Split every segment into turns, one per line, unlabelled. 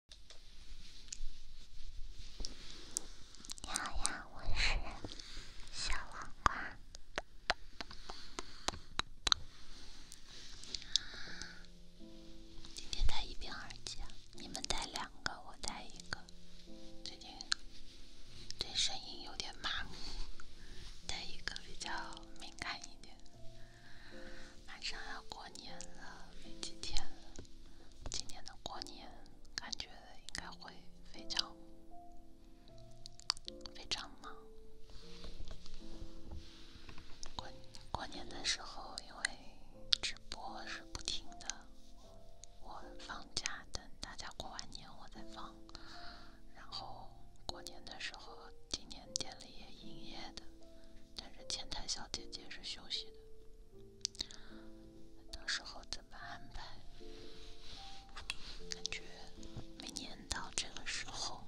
你好呀，我是小黄瓜。今天带一边耳机，你们带两个，我带一个。最近对声音有点麻木，带一个比较敏感一点。马上要过年了，没几天了。今年的过年感觉应该会非常非常忙。过过年的时候，因为直播是不停的，我放假等大家过完年我再放。然后过年的时候，今年店里也营业的。但是前台小姐姐是休息的，到时候怎么安排？感觉每年到这个时候，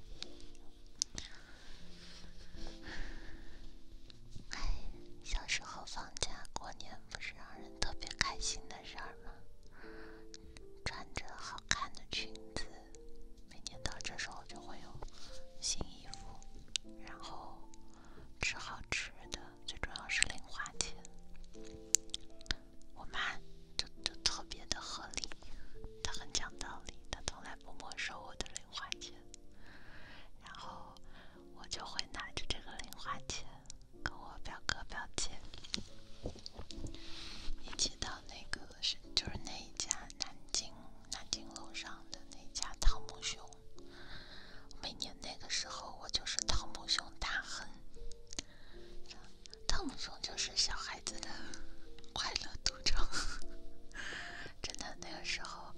哎，小时候放假过年不是让人特别开心的事儿吗？穿着好看的裙子，每年到这时候就会有新衣服，然后。吃好吃的，最重要是零花钱。我妈就就特别的合理，她很讲道理，她从来不没收我的零花钱。然后我就会拿着这个零花钱，跟我表哥表姐一起到那个是就是那一家南京。南京路上的那家汤姆熊，每年那个时候我就是汤姆熊大亨。汤姆熊就是小孩子的快乐赌场，真的那个时候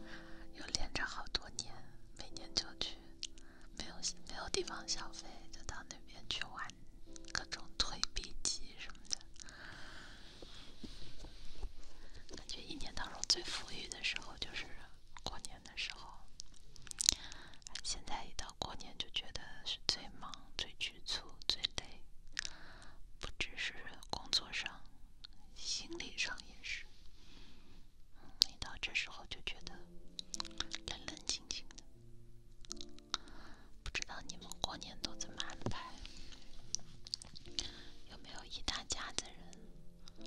又连着好多年，每年就去，没有没有地方消费，就到那边去玩各种推币机什么的。感觉一年当中最富裕的时候就是过年的时候。现在一到过年就觉得是最忙、最局促、最累，不只是工作上，心理上也是。一到这时候就觉得冷冷清清的。不知道你们过年都怎么安排？有没有一大家子人？对，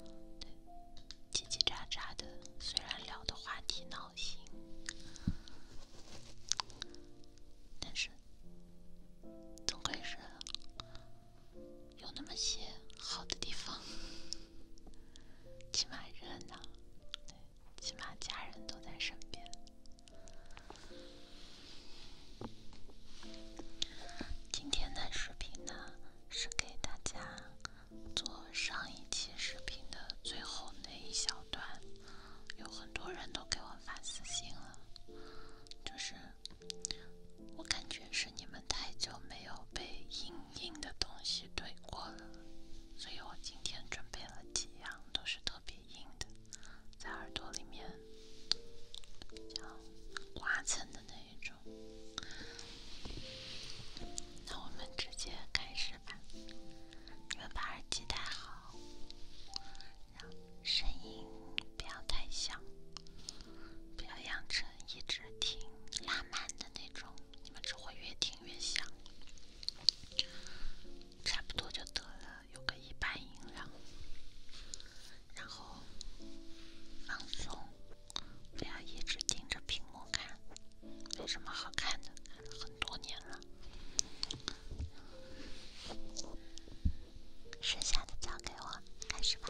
叽叽喳喳的，虽然聊的话题闹心，但是总归是有那么些好的地方，起码热闹，起码家人都在身边。今天的视频呢，是给大家做上一期视频的最后那一小段。有很多人都给我发私信了，就是我感觉是你们太久没有被硬硬的东西怼过了，所以我今天准备了几样，都是特别硬的，在耳朵里面比刮蹭的那。那种，那我们直接开始吧。你们把耳机戴好，然后声音不要太响，不要养成一直听拉满的那种，你们只会越听越响。差不多就得了，有个一般音量，然后。放松，不要一直盯着屏幕看，没什么好看的，看了很多年了。剩下的交给我，开始吧。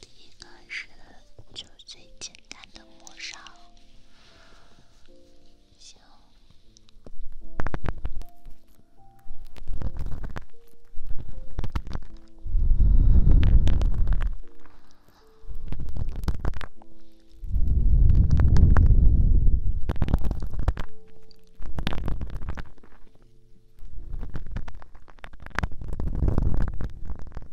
第一个是，就最简单的磨砂，行。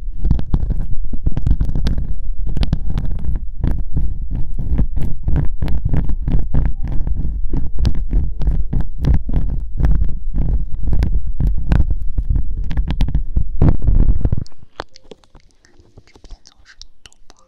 这边噪声多不好。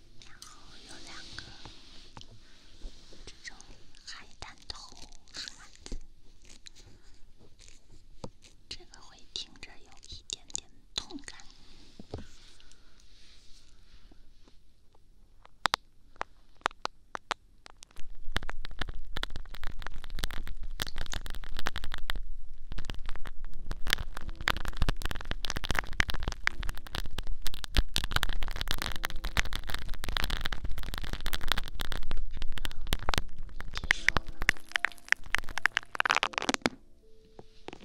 然后有两个这种海胆头刷子，这个会听着有一点点痛感。好了，不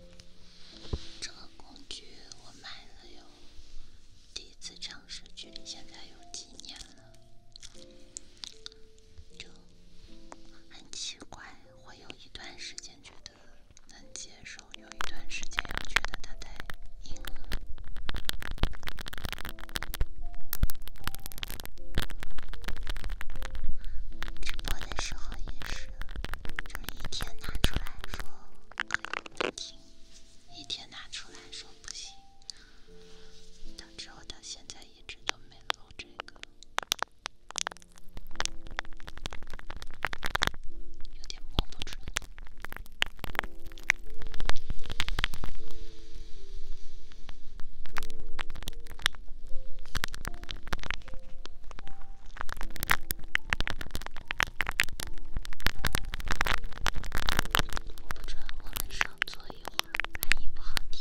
能这个工具我买了有，第一次尝试距离现在有几年了，就很奇怪，会有一段时间觉得。能接受有一段时间要觉得他太硬。直播的时候也是，就是一天拿出来说不行，一天拿出来说不行，导致我到现在一直都没露这个，有点不标准。我不知道，我们少坐一会儿，声音不好听。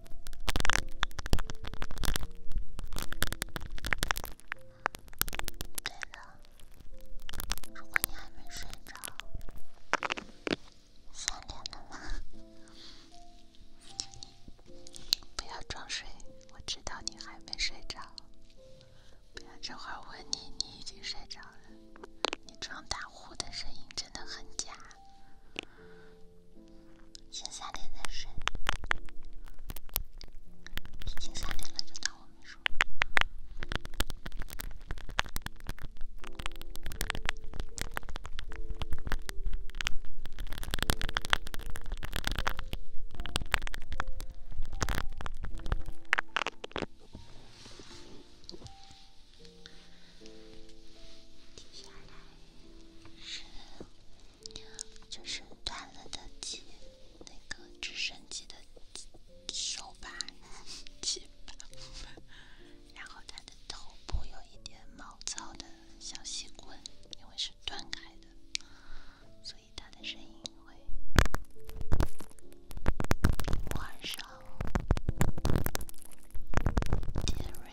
对了，如果你还没睡着，三连了吗？不要装睡，我知道你还没睡着。不要这会儿问你，你已经睡着了。你装打呼的声音真的很假。先三点再睡，已经三点了，就当我没说。接下来是。就是断了的机，那个直升机的手把，然后它的头部有一点毛躁的小细棍，因为是断开的，所以它的声音会晚上尖锐。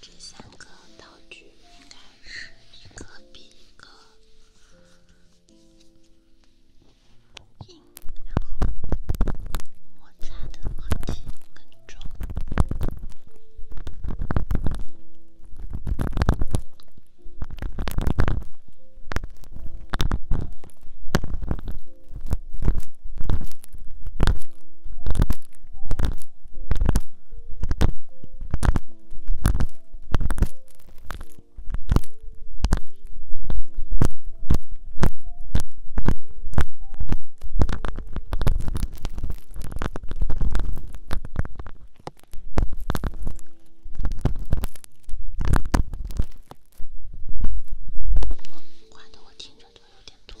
这三个道具应该是一个比一个硬，然后摩擦的痕迹更重。换的我听着都有点痛。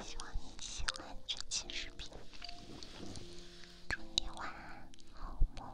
希望你喜欢这期视频，祝你晚安，好梦。